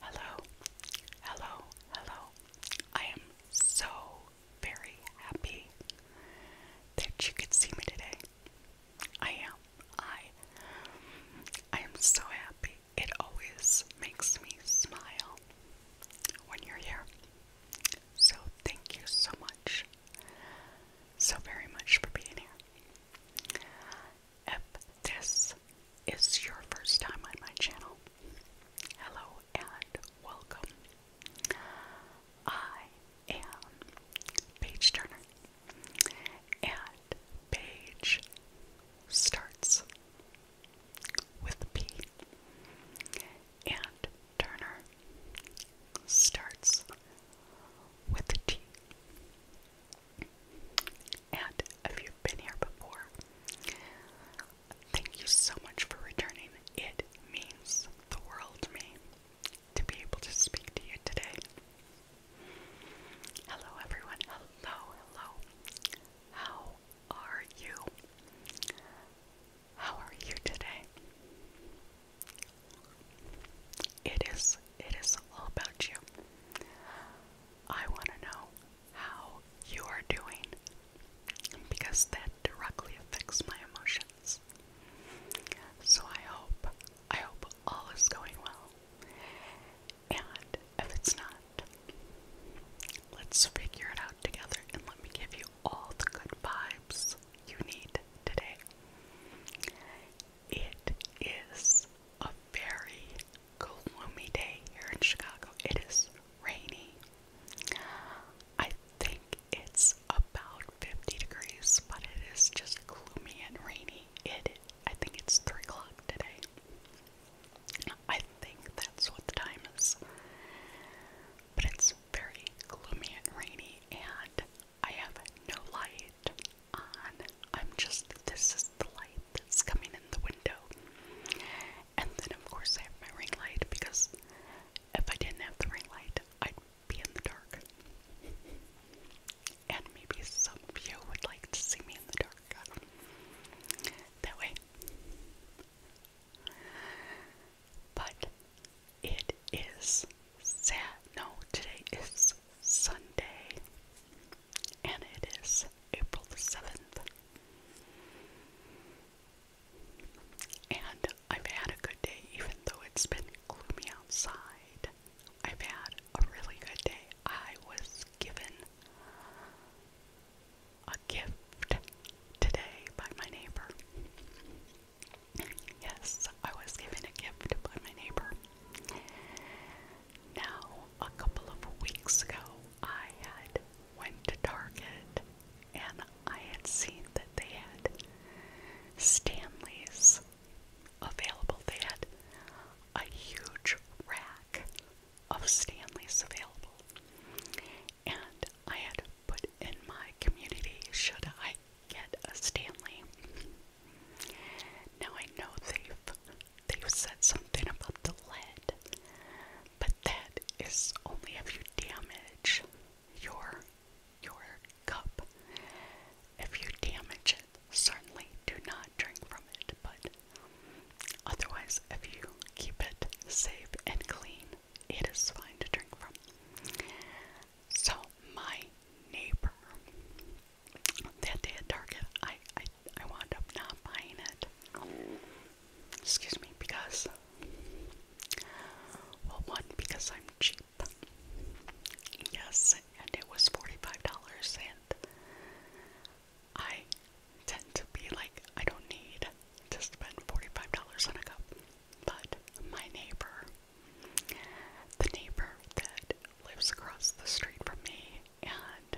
Hello, hello, hello. I am so very happy that you could see me today. I am. I I am so happy. It always makes me smile when you're here. So thank you so much. So very much for being here if this is your first time on my channel, hello and welcome. I am Paige Turner, and Paige starts with P, and Turner starts with T. And if you've been here before, thank you so much for returning. It means the world to me to be able to speak to you today. Hello, everyone. Hello, hello. How are you? How are you today? It is, it is all about you. I want to know how you are doing because that directly affects my emotions. So I hope, I hope all is going well. And if it's not, let's figure it out together and let me give you all the good vibes you need today. It is a very gloomy day here in Chicago. It is rainy. I think it's about 50 degrees, but it is just gloomy and rainy. It, I think it's 3 o'clock today. I think that's what the time is. But it's very gloomy and rainy, and I have no light on. I'm just, this is the light that's coming in the window. And then, of course, I have my ring light because if I didn't have the ring light, I'd be in the dark. And maybe some of you would like to see me in the dark. Uh, that way. But it is sad. No, today is Sunday and it is April the 7th. And I've had a good day, even though it's been gloomy outside. I've had a really good day. I was given a gift today by my neighbor. Yes, I was given a gift by my neighbor. Now, a couple of weeks ago, I had went to Target and I had seen that they had Stanley's available. They had a huge rack of Stanley's available. And I had put in my community, should I get a Stanley? Now I know they've they've said something about the lead, but that is only if you damage your your cup. If you damage it, certainly do not drink from it, but otherwise if you keep it safe and clean, it is fine to drink from. So my neighbor that day at Target, I, I, I wound up not buying it. Excuse me, because, well, one, because I'm cheap. Yes, and it was $45, and I tend to be like, I don't need to spend $45 on a cup. But my neighbor, the neighbor that lives across the street from me, and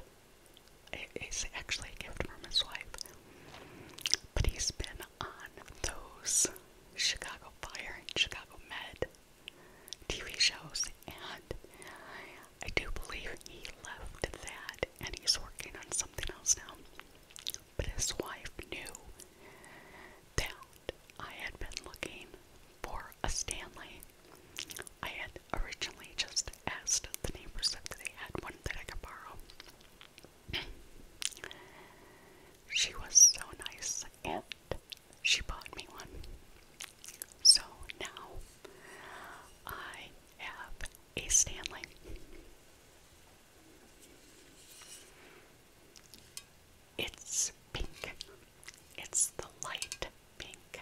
it's actually a gift from his wife. But he's been on those Chicago Fire and Chicago Med TV shows, and I do believe he left that and he's working on something else now. But his wife knew that I had been looking for a Stanley. I had originally just asked the neighbors if they had one that I could borrow. she was so nice and she bought me one. So now I have a Stanley. It's pink. It's the light pink.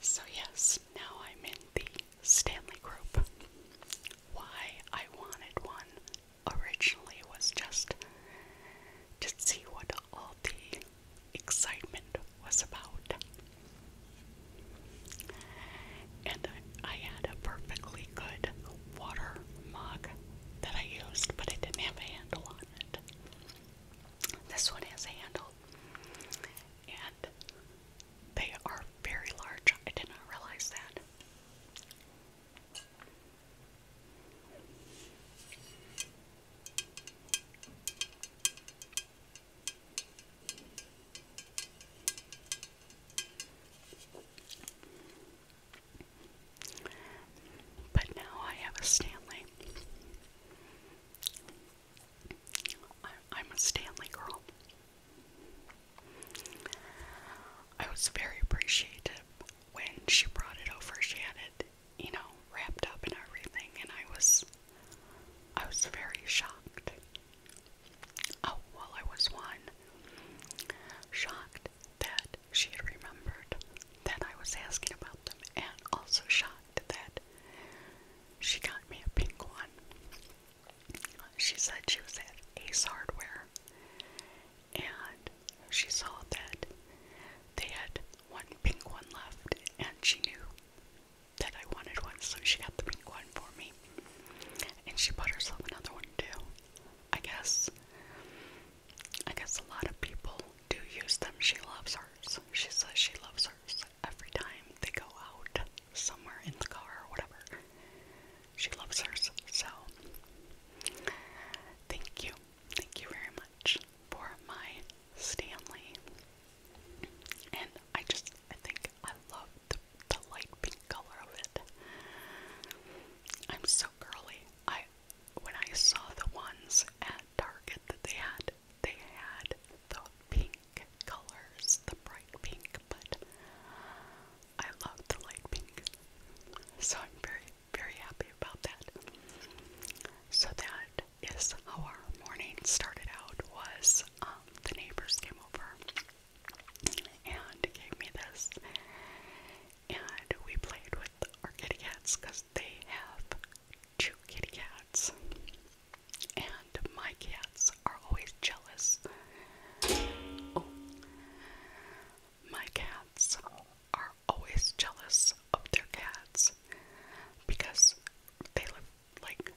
So, yes, now I'm in the Stanley group. Why I wanted one originally was just to see what all the excitement was about. And I, had a perfectly good water mug that I used, but it didn't have a handle on it. This one has a handle, and they are very large. I did not realize that. But now I have a Stanley. I'm a Stanley girl. I was very appreciative when she brought it over. She had it, you know, wrapped up and everything, and I was, I was very shocked Oh, well, I was one. Shocked that she had remembered that I was asking about them, and also shocked that she got me a pink one. She said she was at Ace Hardware, and she saw that they had one pink one left, and she knew that I wanted one, so she got the pink one for me. And she bought herself another one too. I guess I guess a lot of people do use them. She loves hers. She says she loves hers every time they go out somewhere in the car or whatever. She loves hers. So thank you. Thank you very much for my Stanley. And I just I think I love the, light pink color of it. I'm so girly. I when I saw the ones at Target that they had, they had the pink colors, the bright pink, but I love the light pink. So I'm very, very happy about that. So that is how our morning started out was um, the neighbors came over and gave me this. And we played with our kitty cats because they have two kitty cats. And my cats are always jealous. Oh. My cats are always jealous of their cats because they live like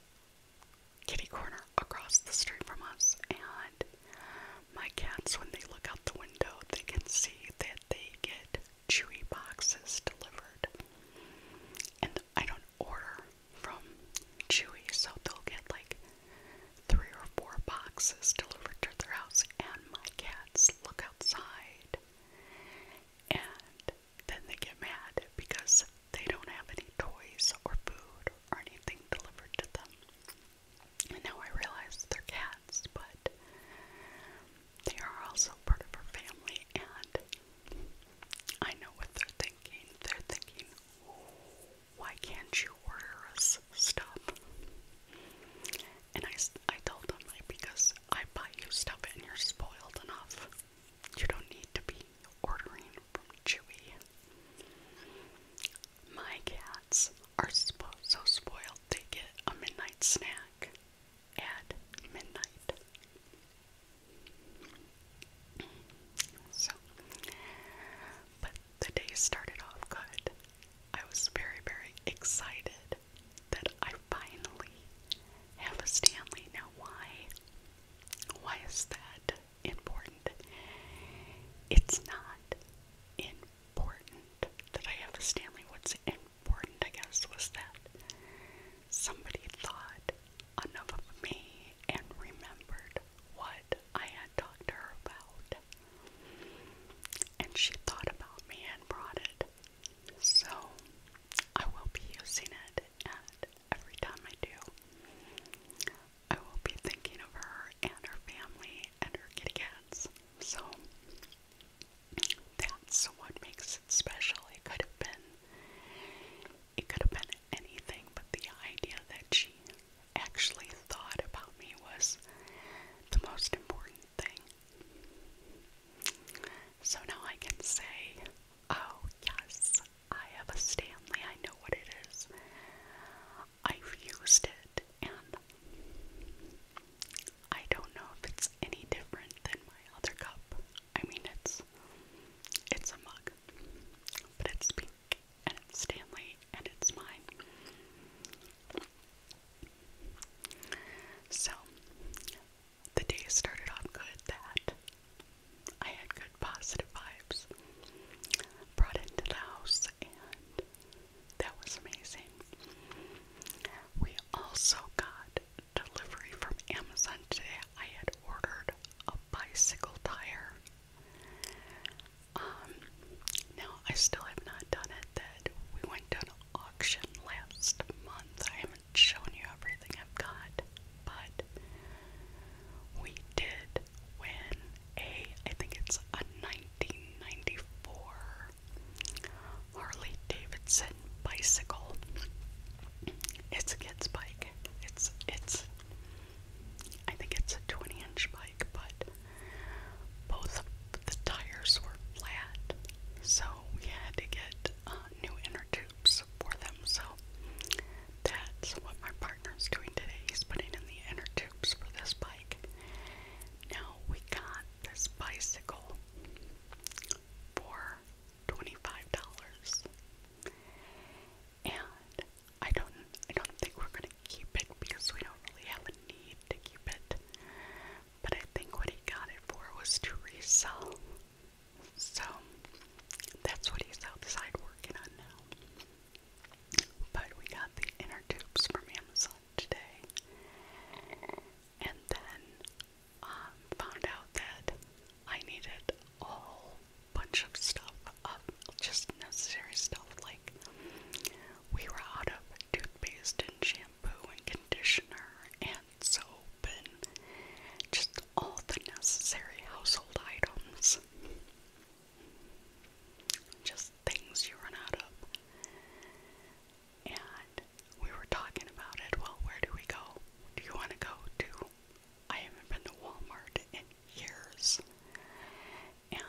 kitty corner across the street from us, and my cats, when they look out the window, they can see that they get chewy boxes delivered. And I don't order from Chewy, so they'll get like three or four boxes delivered to their house, and my cats look outside and then they get mad because they don't have any toys or food or anything delivered to them. now I realize they're cats, but they are also part of our family, and I know what they're thinking. They're thinking, why can't you order us stuff? And I, I told them, because I buy you stuff and you're spoiled enough. You don't need to be ordering from Chewy. My cats are so spoiled they get a midnight snack at midnight. So, but the day started off good. I was very, very excited that I finally have a Stanley. Now, why? Why is that? important. It's not important that I have this family. What's important, I guess, was that somebody thought enough of me and remembered what I had talked to her about. And she thought about me and brought it. So I will be using it at every time I do, I will be thinking of her and her family and her kitty cats. So that's what makes it special. It could have been it could have been anything, but the idea that she actually thought about me was the most important thing. So now I can say Oh, yes, I have a Stanley. I know what it is. I've used it, and I don't know if it's any different than my other cup. I mean, it's it's a mug, but it's pink, and it's Stanley, and it's mine. So the day started off good that I had good positive vibes brought into the house, and that was amazing. We also got delivery from Amazon today. I had ordered a bicycle tire. Um, now I still have not done it. That we went to an auction last month. I have haven't you everything I've got, but we did win a, I think it's a 1994 Harley Davidson bicycle. It's a kid's bike. It's, it's, I think it's a 20 inch bike, but both the tires were flat, so we had to get uh, new inner tubes for them. So that's what my partner's doing today. He's putting in the inner tubes for this bike. Now we got this bicycle for $25. And I don't I don't think we're gonna keep it because we don't really have a need to keep it. But I think what he got it for was to resell so that's what he's outside working on now. But we got the inner tubes from Amazon today. And then um, found out that I needed a whole bunch of stuff, of just necessary stuff. Like, we were out of toothpaste and shampoo and conditioner and vents open, just all the necessary household items. Just things you run out of. And we were talking about it. Well, where do we go? Do you want to go to? I haven't been to Walmart in years. And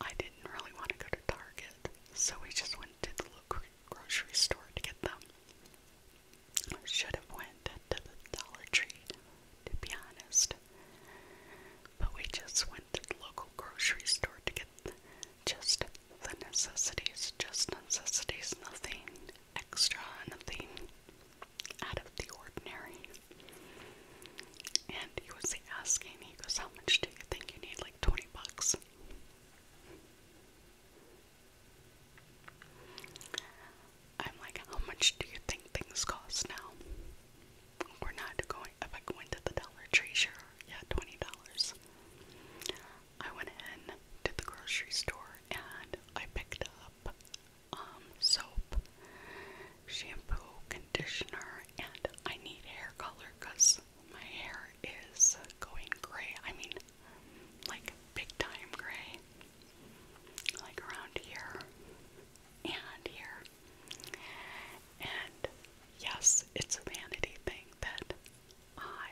I didn't really want to go to Target. So we just went to the local grocery store to get them. Should have went to the Dollar Tree, to be honest. But we just went to the local grocery store to get just the necessities, just necessities, nothing extra, nothing out of the ordinary. And he was asking, he goes, How much do you think you need? Like 20 bucks. I'm like, how much do you think things cost now? We're not going, if I go into the Dollar Tree, sure, yeah, $20. I went in to the grocery store and I picked up um, soap, shampoo, conditioner, and I need hair color because my hair is going gray. I mean, like big time gray like around here and here. And yes, it's a vanity thing that I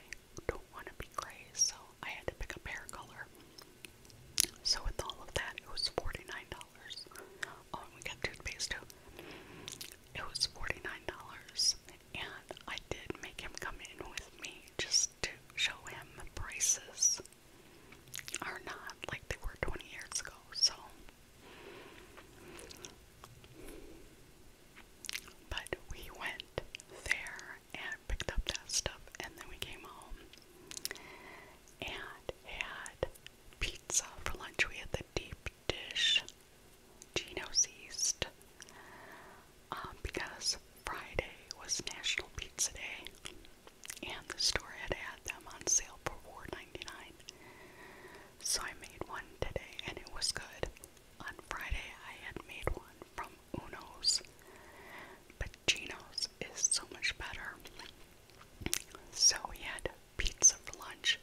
don't want to be gray, so I had to pick up hair color. So with all of that, it was $49. Oh, we got toothpaste too. It was $49, and I did make him come in with me just to show him prices are not like they were 20 years ago, so. But we went there and picked up that stuff, and then we came home and had pizza for lunch. We had the deep dish Geno's East. Um, because Friday was National Pizza Day, and the store had had them on sale for 4 So I made one today, and it was good. On Friday, I had made one from Uno's, but Gino's is so much better. So we had pizza for lunch,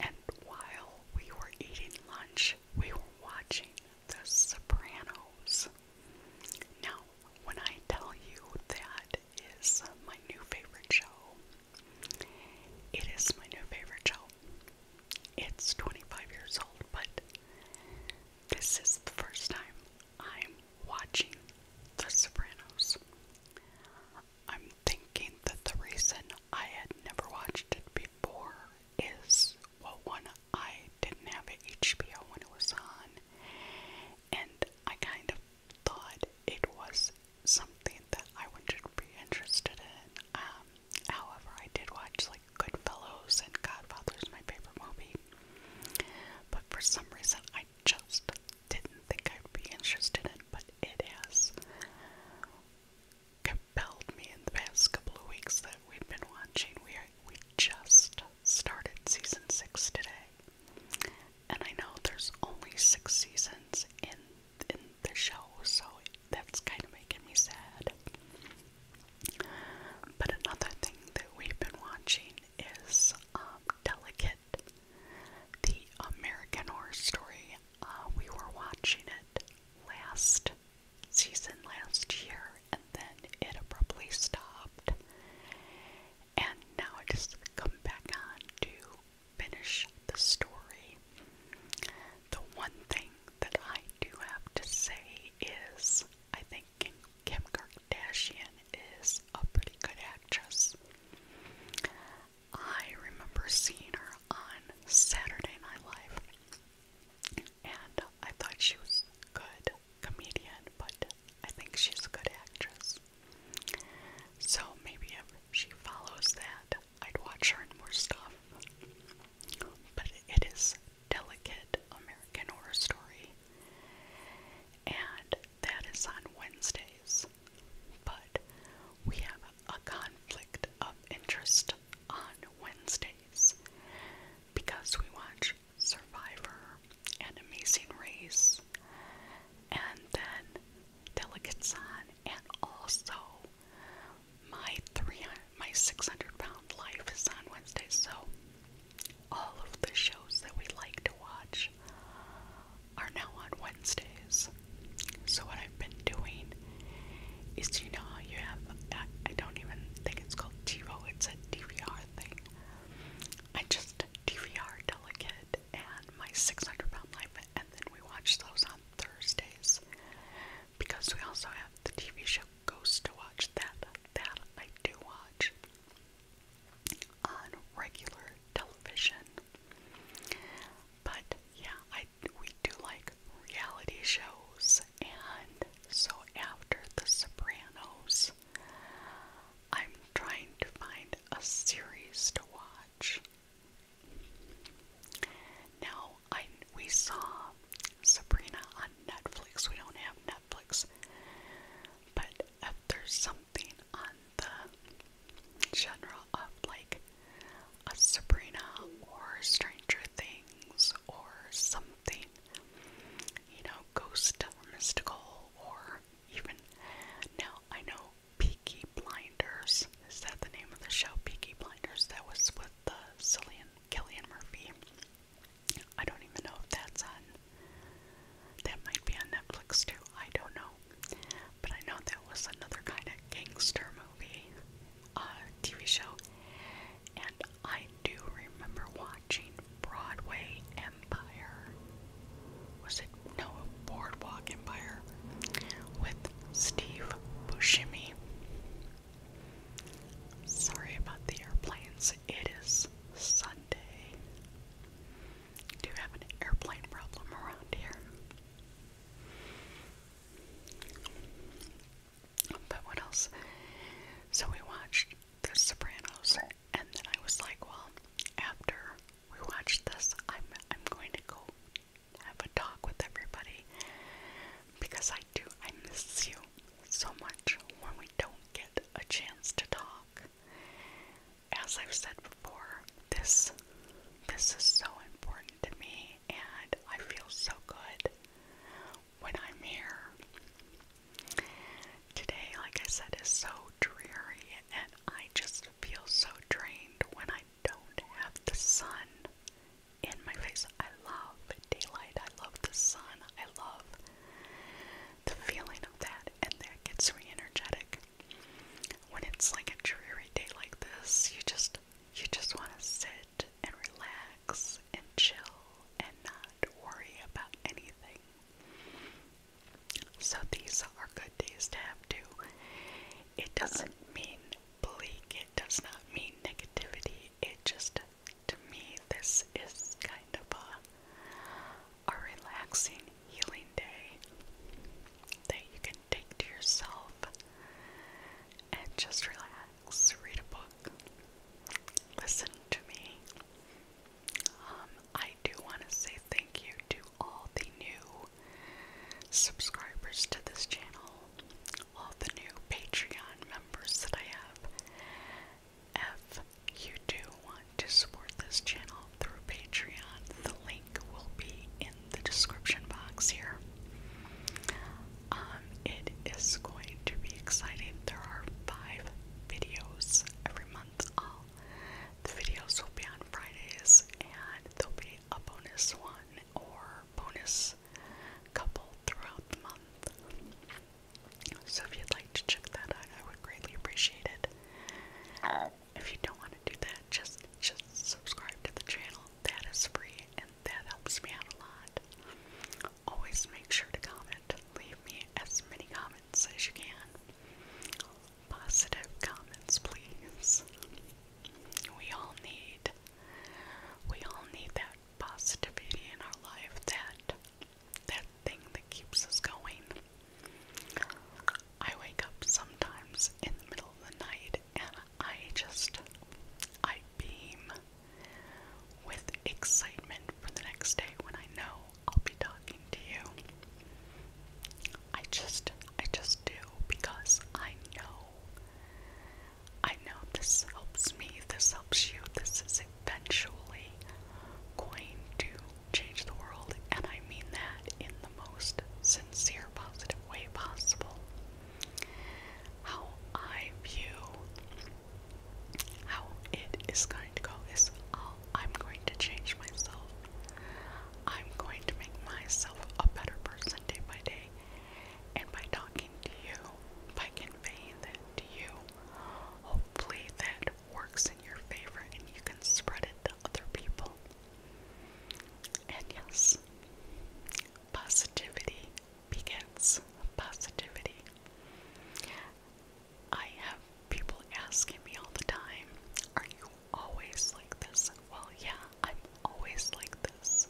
and while we were eating lunch, we were watching the Sopranos. Now, when I tell you that is my new favorite show, it is my new favorite show. It's 25 years old, but this is the first time I'm watching The Sopranos. I'm thinking that the reason I had never watched it before is well, one, I didn't have HBO when it was on, and I kind of thought it was something that I wouldn't be interested in. Um, however, I did watch like Goodfellas and Godfather is my favorite movie, but for some reason I just didn't think I'd be interested in. But it has compelled me in the past couple of weeks that we've been watching. We are, we just started season six today, and I know there's only six seasons in in the show, so that's kind of making me sad. But another thing that we've been watching is um, Delicate, the American Horror Story. Uh, we were watching it last season last year and then it abruptly stopped. And now it has come back on to finish the story. The one thing that I do have to say is I think Kim Kardashian is a pretty good actress. I remember seeing her on Saturday Night Live and I thought she was a good comedian, but I think she's a good actress. So maybe if she follows that, I'd watch her in more stuff. But it is Delicate American Horror Story, and that is on Wednesdays. But we have a conflict of interest on Wednesdays because we watch Survivor and Amazing Race and then Delegates on and also my three my 600 pound life is on Wednesday so all of the shows that we like to watch are now on Wednesdays. So what I've been doing is do you know you have, I, I don't even think it's called TiVo, it's a DVR thing. I just DVR Delicate and my 600 pound life, and then we watch those on Thursdays because we also have the TV show Ghost to watch. That that I do watch on regular television. But yeah, I we do like reality shows and so after the Sopranos I'm trying to find a series to watch. Now I we saw Sabrina on Netflix. We don't have Netflix. But if there's something on the general of like a Sabrina or Stranger Things or something, you know, ghost mystical or even now I know Peaky Blinders. Is that the name of the show? Peaky Blinders. That was with the uh, Cillian Killian Murphy. I don't even know if that's on. That might be on Netflix too. I don't know. But I know that was another kind of gangster movie uh, TV show, and I do remember watching Broadway Empire. Was it no Boardwalk Empire with Steve Buscemi? Sorry about the airplanes. It is Sunday. Do you have an airplane problem around here? But what else? So we watched The Sopranos, and then I was like, well, after we watch this, I'm I'm going to go have a talk with everybody because I do I miss you so much when we don't get a chance to talk. As I've said before, this this is so important to me and I feel so good when I'm here. Today, like I said, is so dreary, and I just feel so drained when I don't have the sun in my face. I love daylight, I love the sun, I love the feeling of that, and that gets me energetic. When it's like a dreary day like this, you just you just want to sit and relax and chill and not worry about anything. So these are good days to have too. It doesn't mean bleak, it does not mean negativity. It just, to me, this is kind of a, a relaxing, healing day that you can take to yourself and just relax, read a book, listen to me. Um, I do want to say thank you to all the new subscribers to this channel, all the new Patreon members that I have. If you do want to support this channel through Patreon, the link will be in the description box here. Um, it is going to be exciting. There are five videos every month. All the videos will be on Fridays, and there'll be a bonus one or bonus couple throughout the month. So if you'd like to check that I would greatly appreciate it. If you don't want to do that, just just subscribe to the channel. That is free, that helps me out a lot. Always make sure to comment. Leave me as many comments as you can. Positive comments, please. We all need we all need that positivity in our life, that that thing that keeps us going. I wake up sometimes in the middle of the night and I just I beam with excitement for the next day when I know I'll be talking to you. I just I just do because I know I know this helps me, this helps you, this is eventually going to change the world, and I mean that in the most sincere, positive way possible how I view how it is going to go is oh, i am going to change myself. I'm going to make myself a better person day by day. And by talking to you, by conveying that to you, hopefully that works in your favor and you can spread it to other people. And yes, Positivity begets positivity. I have people asking me all the time, Are you always like this? Well, yeah, I'm always like this.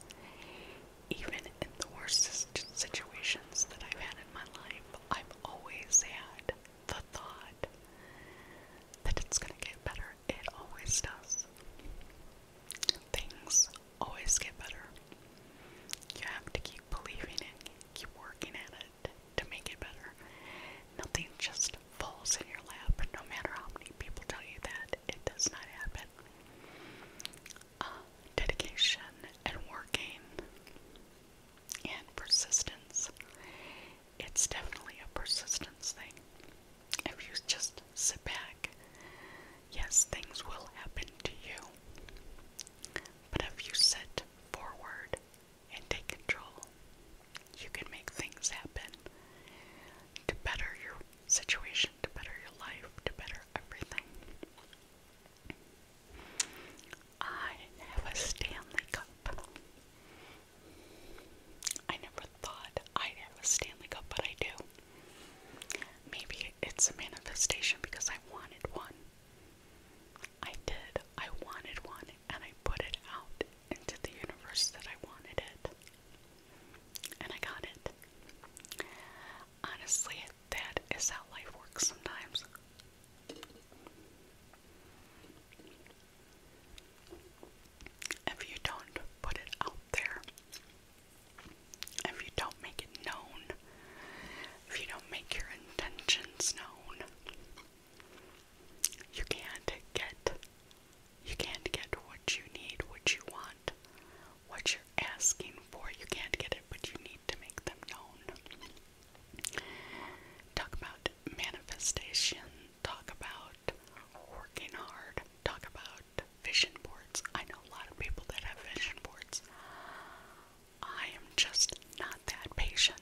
Even in the worst situations that I've had in my life, I've always had the thought that it's going to get better. It always does. Things always get better. You have to keep believing it, keep working at it to make it better. Nothing just falls in your lap, no matter how many people tell you that. It does not happen. Uh, dedication and working and persistence. It's definitely a persistence thing. If you just sit back, yes, things will happen to you. But if you sit forward and take control, you can make things happen to better your situation, to better your life, to better everything. I have a Stanley Cup. I never thought I'd have a Stanley Cup, but I do. Maybe it's a manifestation because I wanted one. I did. I wanted one, and I put it out into the universe that I wanted it. And I got it. Honestly, that is how life works sometimes. If you don't put it out there. If you don't make it known, if you don't make your intentions known, you can't get you can't get what you need, what you want, what you're asking for. You can't get it, but you need to make them known. Talk about manifestation, talk about working hard, talk about vision boards. I know a lot of people that have vision boards. I am just not that patient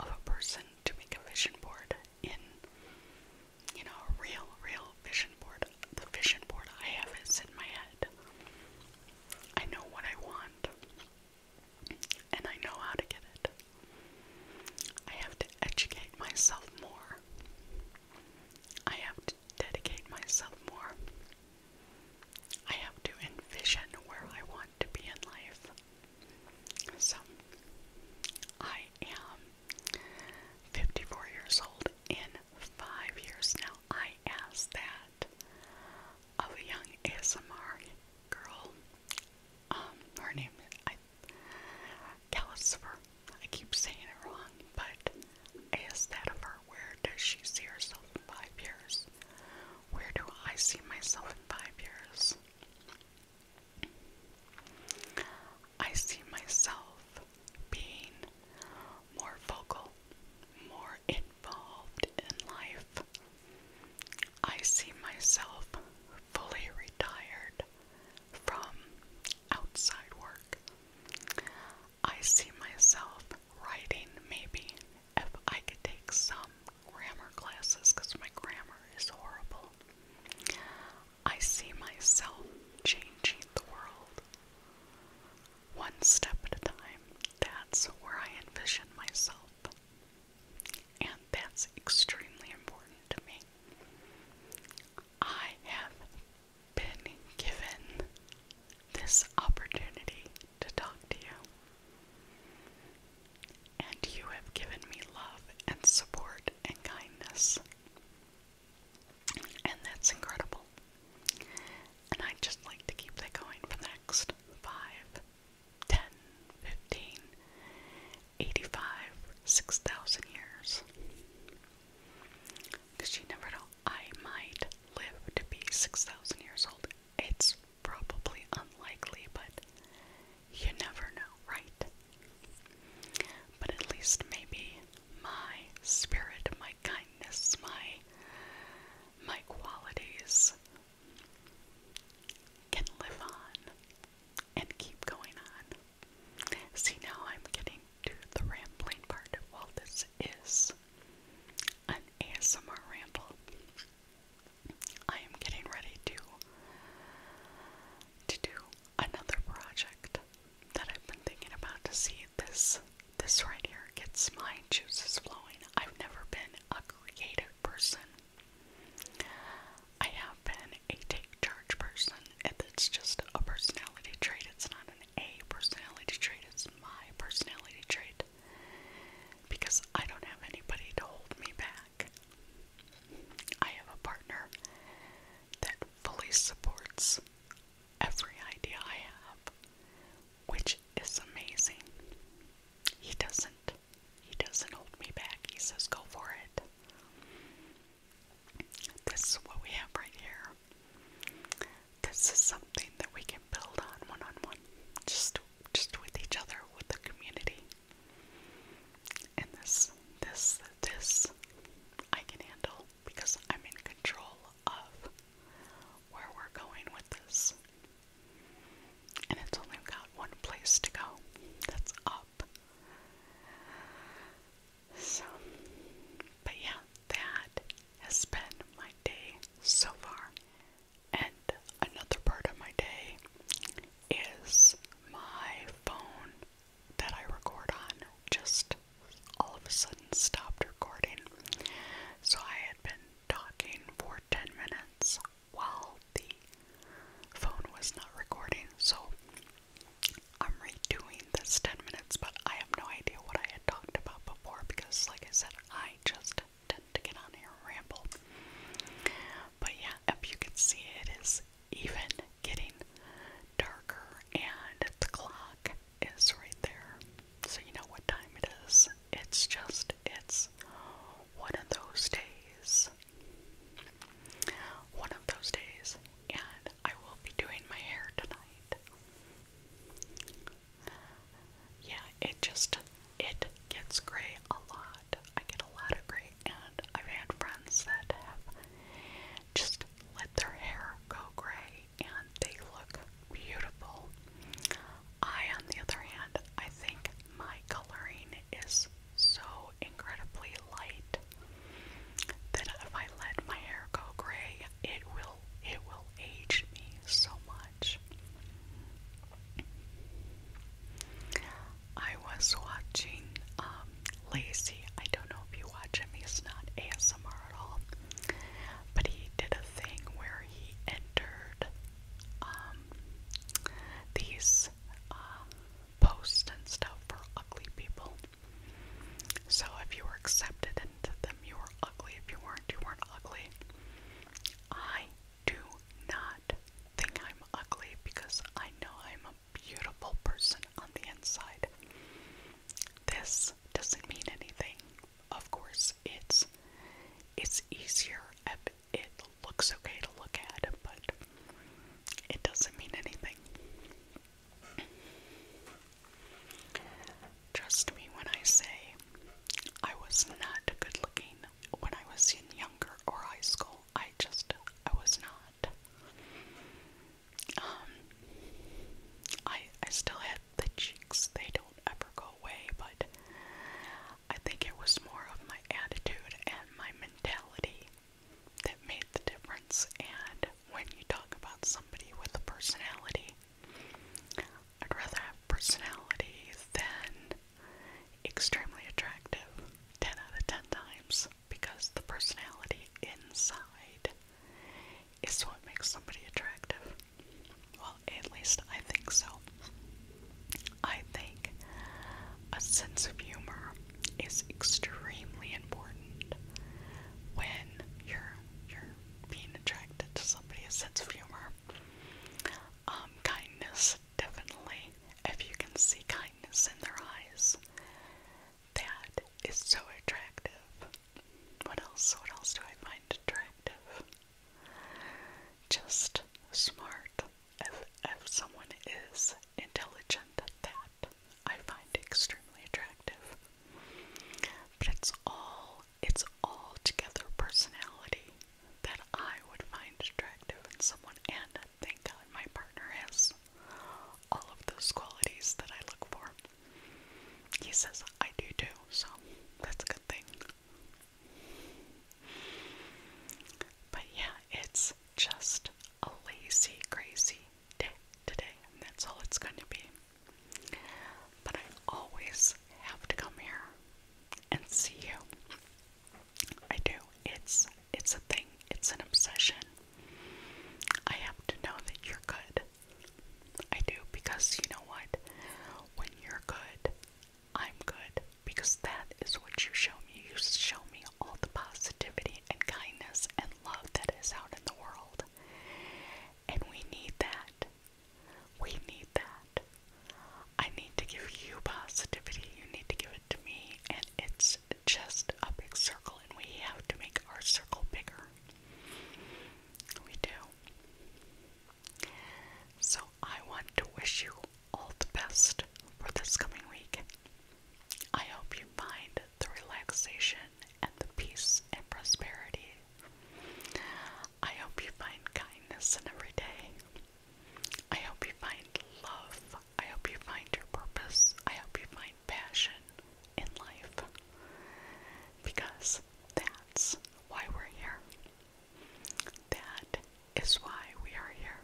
of a person to make a vision board in, you know, a real, real vision board. The vision board I have is in my head. I know what I want, and I know how to get it. I have to educate myself more I have to dedicate myself more. I have to envision where I want to be in life. So, I am 54 years old in five years now. I asked that of a young ASMR girl. Um, her name, I Calcifer. I keep saying it wrong, but I asked that of her. Where does she see herself in five years? Where do I see myself in five years? I see myself being more vocal, more involved in life. I see myself fully retired from outside work. I see myself writing maybe if I could take some grammar classes because my grammar is horrible. I see myself changing the world one step at a time. That's where I envision myself. And that's extremely important to me. I have been given this opportunity to talk to you. And you have given me love and support and kindness. And that's incredible. And i just like to keep that going for the next five, ten, fifteen. 85, 6,000 years. Because you never know, I might live to be 6,000 years old. It's probably unlikely, but you never know, right? But at least maybe my spirit, my kindness, my my qualities can live on and keep going on. See, now I'm getting to the rambling part. While this is an ASMR ramble. I am getting ready to to do another project that I've been thinking about to see this this right here gets my juices flowing. I've never been a creative person. I have been a take charge person. If it's just a personality trait, it's not an A personality trait, it's my personality trait. Because I don't have anybody to hold me back. I have a partner that fully supports every idea I have, which is amazing. He doesn't. He doesn't hold me back. He says, go for it. This is what we have right here. This is something that we can build on one on one, just just with each other, with the community. And this, this, this, I can handle because I'm in control of where we're going with this. And it's only got one place to go. That's up. So, but yeah, that has been my day so far. And another part of my day is my phone that I record on just all of a sudden stopped recording. So I had been talking for 10 minutes while the phone was not recording, so I'm redoing this 10 minutes, but I have no idea what I had talked about before because, like I said, I just tend to get on here and ramble. But yeah, if you can see, it is even getting darker, and the clock is right there, so you know what time it is. It's just, it's one of those days one of those days, and I will be doing my hair tonight. Yeah, it just it gets gray a lot. I get a lot of gray, and I've had friends that have just let their hair go gray, and they look beautiful. I, on the other hand, I think my coloring is so incredibly light that if I let my hair go gray, it will it will age me so much. I was watching um, I don't know if you watch him. He's not ASMR at all, but he did a thing where he entered um, these. Um, posts and stuff for ugly people. So if you were accepted into them, you were ugly. If you weren't, you weren't ugly. I do not think I'm ugly because I know I'm a beautiful person on the inside. This doesn't mean anything. Of course, it's it's easier it looks okay to look at, but it doesn't mean anything. Trust me when I say I was not good looking when I was in younger or high school. I just, I was not. Um, I, I still had the cheeks, they don't ever go away, but I think it was more of my attitude and my mentality that made the difference. And when you talk about somebody with a personality, I'd rather have personality than extremely attractive 10 out of 10 times because the personality inside is what makes somebody attractive. Well, at least I think so. I think a sense of humor is extremely important when you're you're being attracted to somebody. A sense of humor, um, kindness, definitely. If you can see kindness in their eyes, that is so attractive. What else? What else do I find attractive? Just smart, if, if someone is intelligent that, I find extremely attractive. But it's all, it's all together personality that I would find attractive in someone, and thank God my partner has all of those qualities that I look for. He says I do too, so that's a good thing. But yeah, it's just a lazy, crazy day today, and that's all it's going to be. But I always have to come here and see you. I do. It's it's a thing. It's an obsession. I have to know that you're good. I do because you know what? When you're good, I'm good because that is what you show me. You show me all the positivity and kindness and love that is out in the world. And we need that. We need that. I need to give you positivity. You need to give it to me. And it's just a big circle, and we have to make our circle bigger. We do. So I want to wish you all the best for this coming week. I hope you find the relaxation and the peace and prosperity. I hope you find kindness in every day. I hope you find love. I hope you find your purpose. I hope you find passion in life. Because that's why we're here. That is why we are here.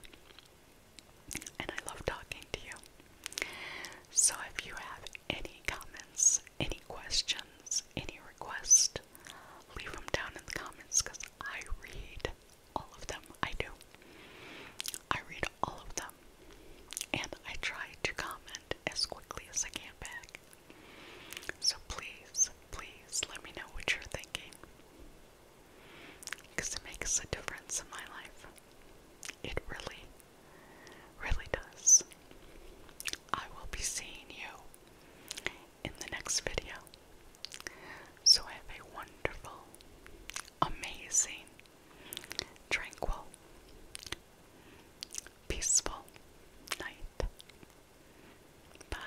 And I love talking to you. So if you have any comments, any questions, any requests, leave them down in the comments because I read all of them. I do. I read all of them. And I try to comment as quickly as I can back. So please, please let me know what you're thinking. Because it makes a difference in my life. It really, really does. I will be seeing you in the next video. So have a wonderful, amazing, tranquil, peaceful night. Bye.